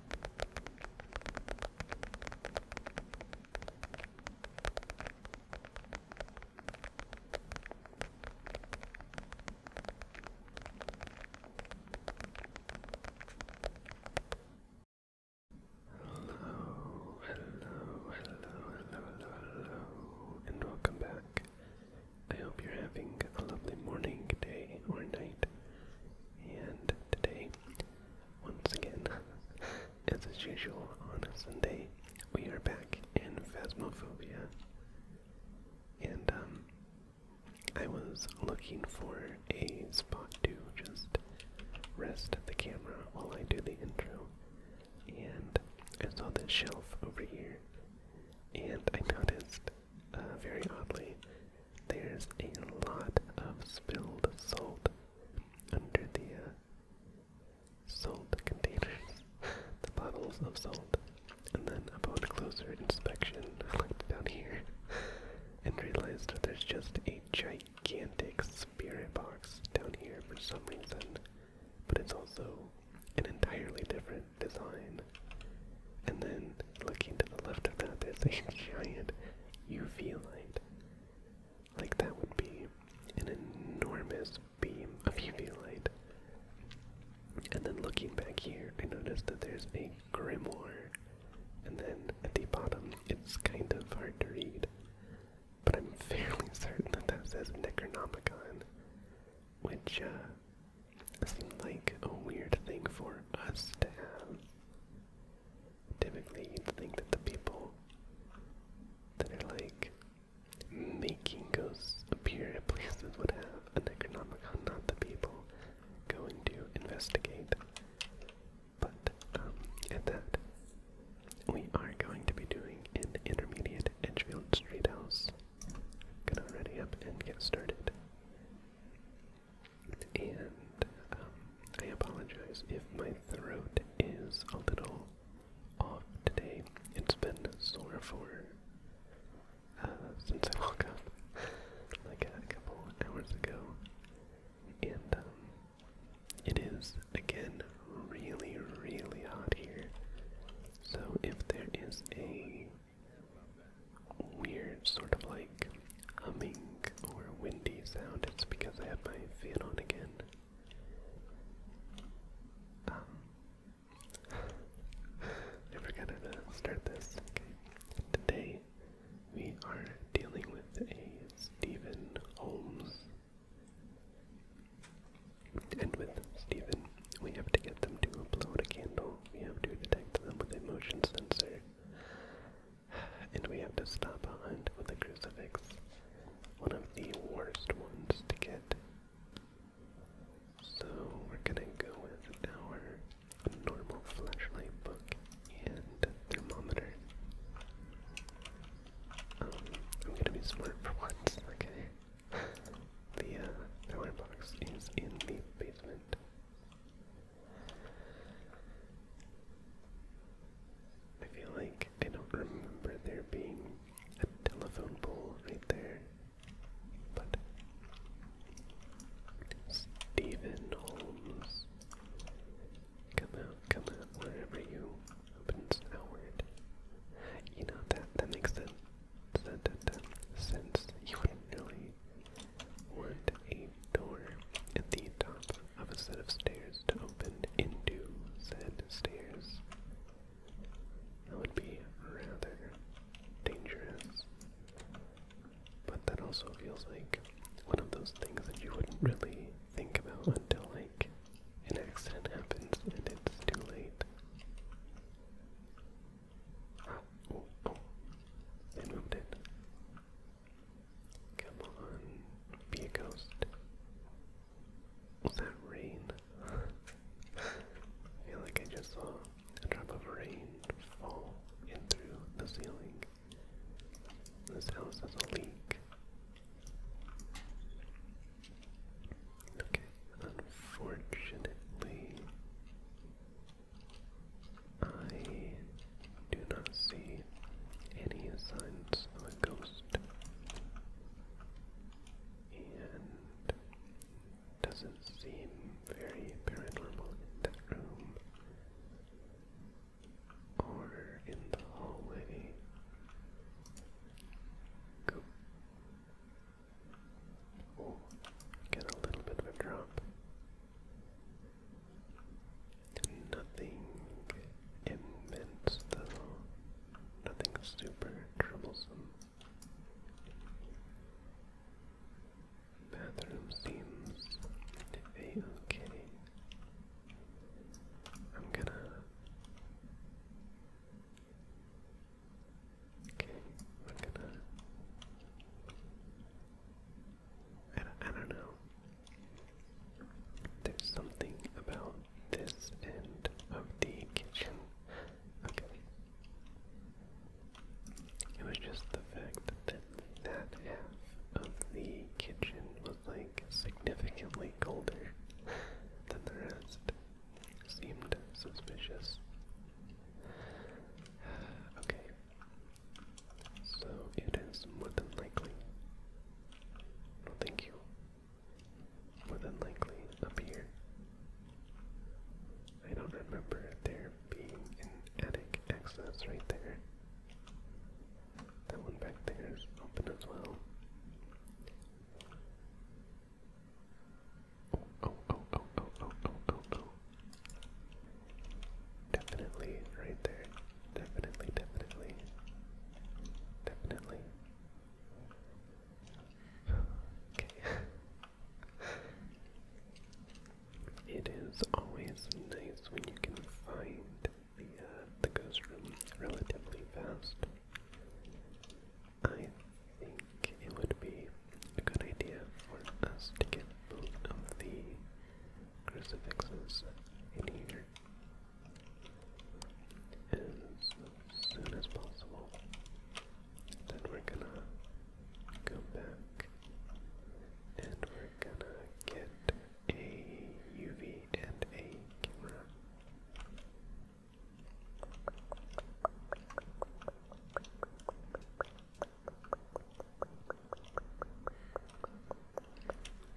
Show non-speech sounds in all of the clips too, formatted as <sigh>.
Hello, hello, hello, hello, hello, and welcome back. I hope you're having a lovely morning, day, or night, and today, once again, <laughs> as is usual on a Sunday, we are back in Phasmophobia. And, um, I was looking for a spot to just rest the camera while I do the intro, and I saw this shelf over here, and I noticed uh, very oddly, there's a lot of spilled salt under the uh, salt containers, <laughs> the bottles of salt. And then upon closer inspection, I looked down here <laughs> and realized that there's just a gigantic spirit box down here for some reason, but it's also an entirely different design. And then looking to the left of that, there's a giant UV light. Like, that would be an enormous beam of UV light. And then looking back here, I noticed that there's a grimoire. And then at the bottom, it's kind of hard to read. But I'm fairly certain that that says Necronomicon, which uh, seemed like a weird thing for us to have. Typically, you'd think that the people that are like making ghosts appear in places would have a Necronomicon, not the people going to investigate. But um, at that, we are going to be doing an intermediate Edgefield Street House. Gonna ready up and get started. And um, I apologize if my throat is a little off today. It's been sore for uh, since I woke up like a couple hours ago. And um, it is again really, really hot here. So if there is a weird sort of like humming or windy sound, it's because I have my fan on again. Um, <laughs> I forgot to start this. Okay. Today we are dealing with a Stephen Holmes. And with Stephen, we have to get them to blow out a candle. We have to detect them with a motion sensor. And we have to stop a hunt with a crucifix. One of the worst ones to get. So we're gonna go with our normal flashlight book and thermometer. Um, I'm gonna be smart for once, okay? <laughs> The uh, power box is in the basement. I feel like I don't remember there being a telephone pole right there. But Stephen Holmes, come out, come out, wherever you opens outward. You know that that makes sense. That, that, sense. You wouldn't really want a door at the top of a set of stairs to open into said stairs. That would be rather dangerous. But that also feels like one of those things that you wouldn't really think about until, like, an accident happens and it's too late. They moved it. Come on, be a ghost. Was that rain? I feel like I just saw a drop of rain fall in through the ceiling. This house has a leak. Okay, unfortunately, I do not see any signs of a ghost. And doesn't seem very paranormal in that room or in the hallway. Go. get a little bit of a drop. Nothing immense though. Nothing super troublesome. Bathroom seems okay. I'm gonna Okay, I'm gonna. I don't, I i do not know. There's something about this end of the kitchen. Okay. It was just the fact that that half of the kitchen was like significantly colder than the rest. Seemed suspicious. <sighs> okay, so it is more than likely. thank you. More than likely up here. I don't remember there being an attic access right there. That one back there is open as well. Oh, oh, oh, oh, oh, oh, oh, oh, Definitely right there. Definitely, definitely. Definitely. Okay. it is always nice when you can find the uh, the ghost room relatively fast. I think it would be a good idea for us to get both of the crucifixes in here as soon as possible. Then we're gonna go back and we're gonna get a UV and a camera.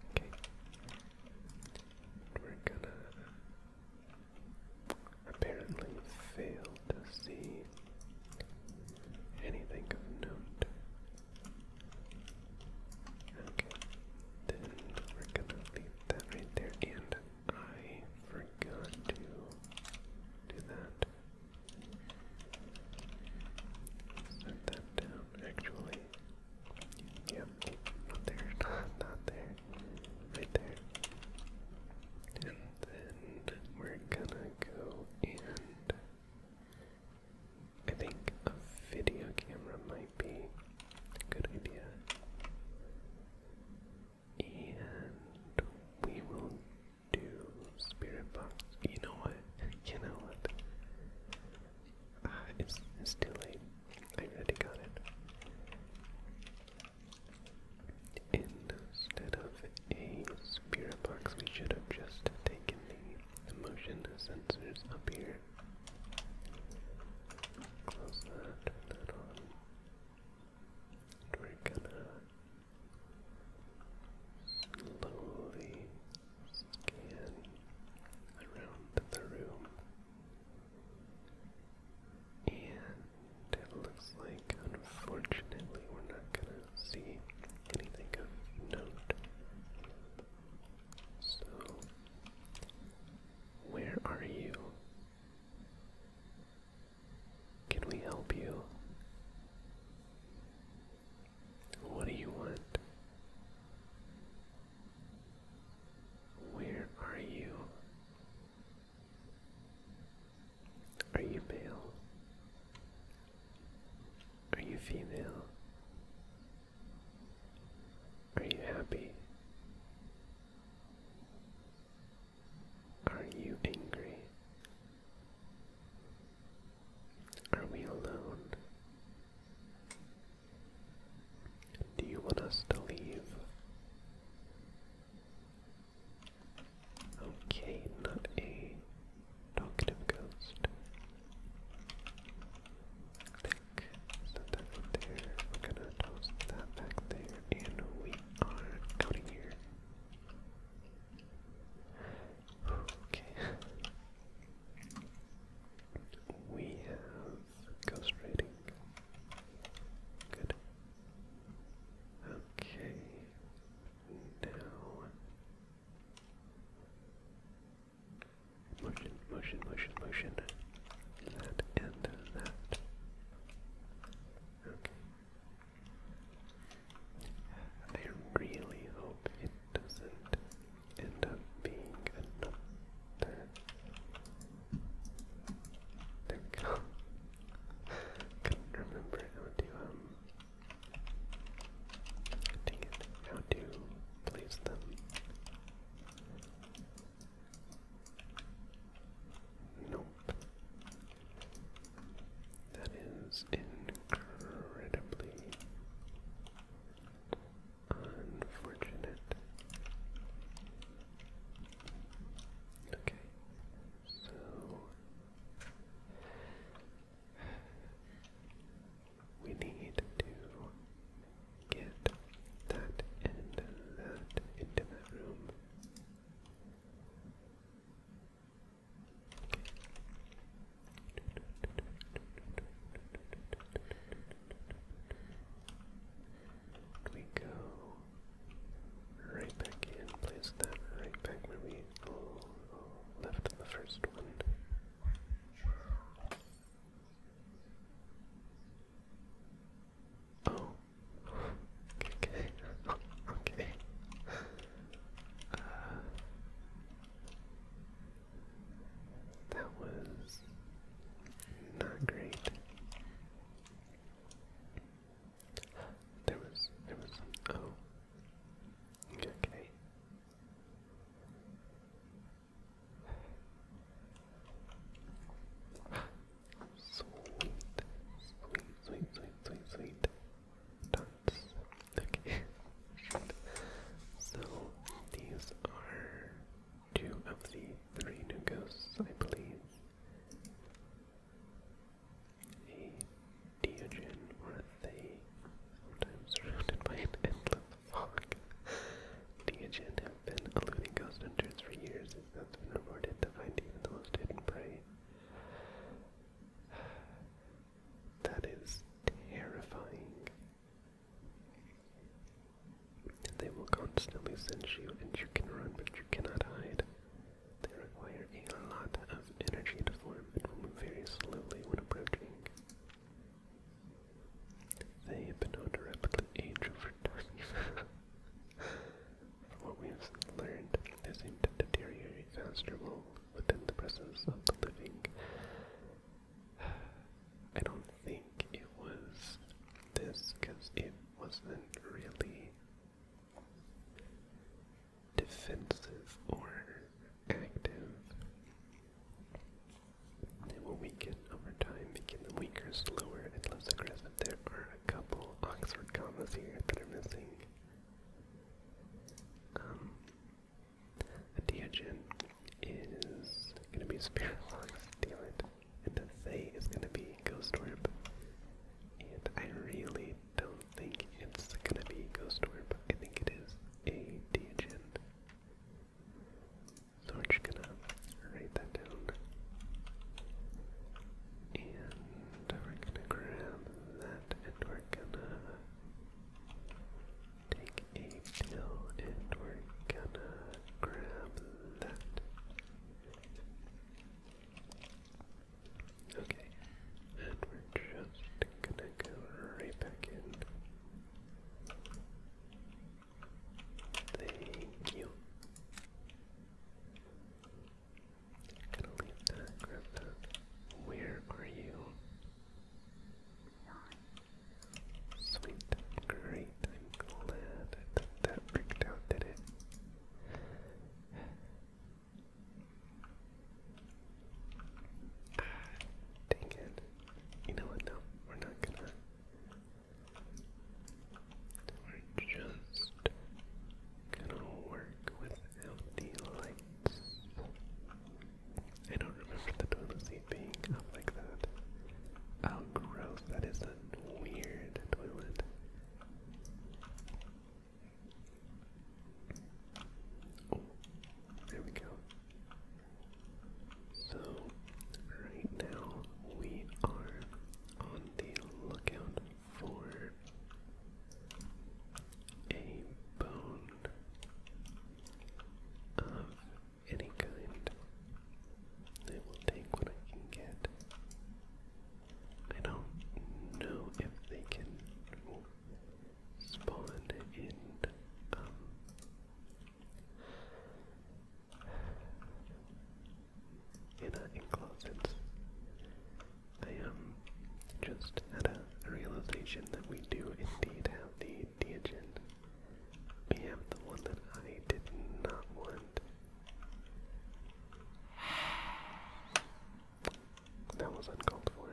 Okay. We're gonna apparently fail to see anything of note. Okay. Then we're gonna leave that right there, and I forgot to do that. Set that down, actually. Yep, not there, <laughs> not there, right there. And then we're gonna go and I think a video camera might be a good idea and we will do spirit box. You know what? You know what? Ah, it's it's too late. I already got it. Instead of a spirit box, we should have just taken the motion sensors up here. Close that, turn that on. And we're going Slowly scan around the room. And it looks like, unfortunately, we're not going to see anything of note. So, where are you? Can we help you? What do you want? Where are you? Are you male? Are you female? Are you happy? Are you angry? Are we alone? Do you want us to leave? Okay, not a talkative ghost. Click, set that right there. We're gonna toss that back there, and we are out of here. Okay. We have ghost rating. Good. Okay. Now motion, motion, motion, motion. That and that. Okay. I really hope it doesn't end up being another I <laughs> couldn't remember how to um it, how to place them. No that is incredibly unfortunate. Okay, so we need to get that and that into that room. We go right back in, place that right back where we oh, oh, left the first one. Oh, Okay. okay. that was not great. There was there was oh okay. Sweet, sweet, sweet, sweet, sweet, sweet dots. Okay. so these are two of the three new ghosts, I believe. A Diogen worth a sometimes surrounded by an endless fog. Diogen have been eluding ghost hunters for years, as that's been reported to find even the most hidden prey. That is terrifying. They will constantly sense you and you can run, but you cannot hide. They require a lot of energy to form and will move very slowly when approaching. They have been known to rapidly age over <laughs> time. What we have learned they seem to deteriorate faster within the presence of the living. <sighs> I don't think it was this because it wasn't really defensive or active. They will weaken over time, making them weaker, slower, and less aggressive. There are a couple Oxford commas here that are missing. Um, a Deogen is going to be Spirit Locks, Dealant, and a Thay is going to be Ghost Orb. And I really don't think it's going to be Ghost Orb. I think it is a Deogen. So we're just going to write that down. And and we're gonna grab that and we're gonna take a pill and we're gonna grab that. Okay, and we're just gonna go right back in. Thank you. Where are you? Sweet, great, I'm glad that that did it? Ah, dang it. You know what, no, we're not gonna... We're just gonna work without the lights. I don't remember the toilet seat being up like that. Oh, gross, that is a weird toilet. Oh, there we go. So, right now we are on the lookout for a bone of any kind. I will take what I can get. I don't know if they can spawn in um, in an enclosed I am um, just had a realization that we do indeed have the Diogen. We have the one that I did not want. That was uncalled for.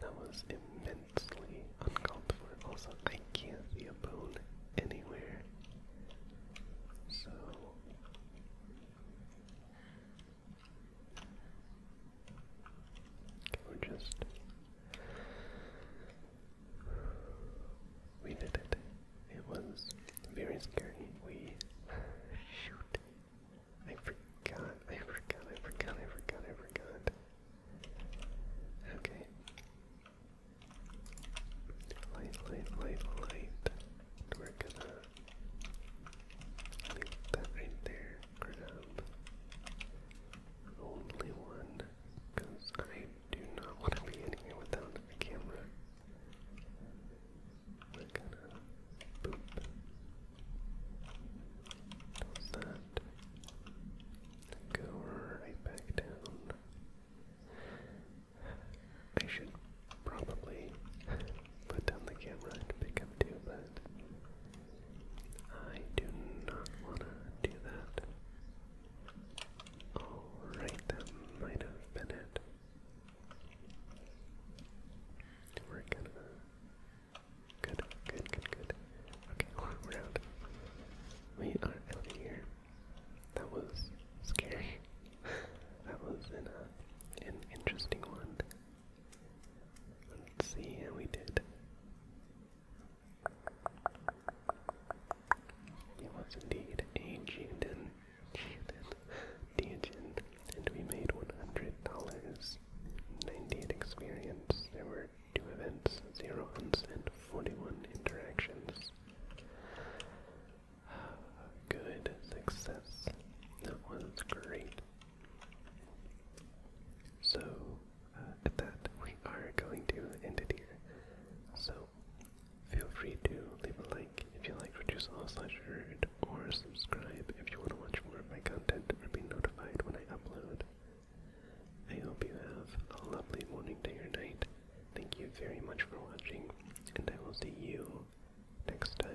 That was immensely uncalled for. Also, I can't see a bone anywhere. So we just we did it. It was very scary. We shoot. I forgot. I forgot. I forgot. I forgot. I forgot. Okay. Light, light, light, light. we're gonna leave that right there. only one, because I do not want to be in without a camera. We're gonna boop. Does that go right back down? I should probably put down the camera and pick up too, but I do not want to do that. Alright, that might have been it. We're gonna. Good, good, good, good. Okay, we're out. We are out of here. That was scary. <laughs> that was an, uh, an interesting one. Let's see how we did. It was indeed a agent. Juden, and we made $100, ninety experience. There were two events, 0 and 41 interactions. Good success. That was great. So, uh, that, we are going to end it here. So, feel free to leave a like if you like what you saw slash heard, or subscribe if you want to watch more of my content or be notified when I upload. I hope you have a lovely morning, day, or night, Thank you very much for watching, and I will see you next time.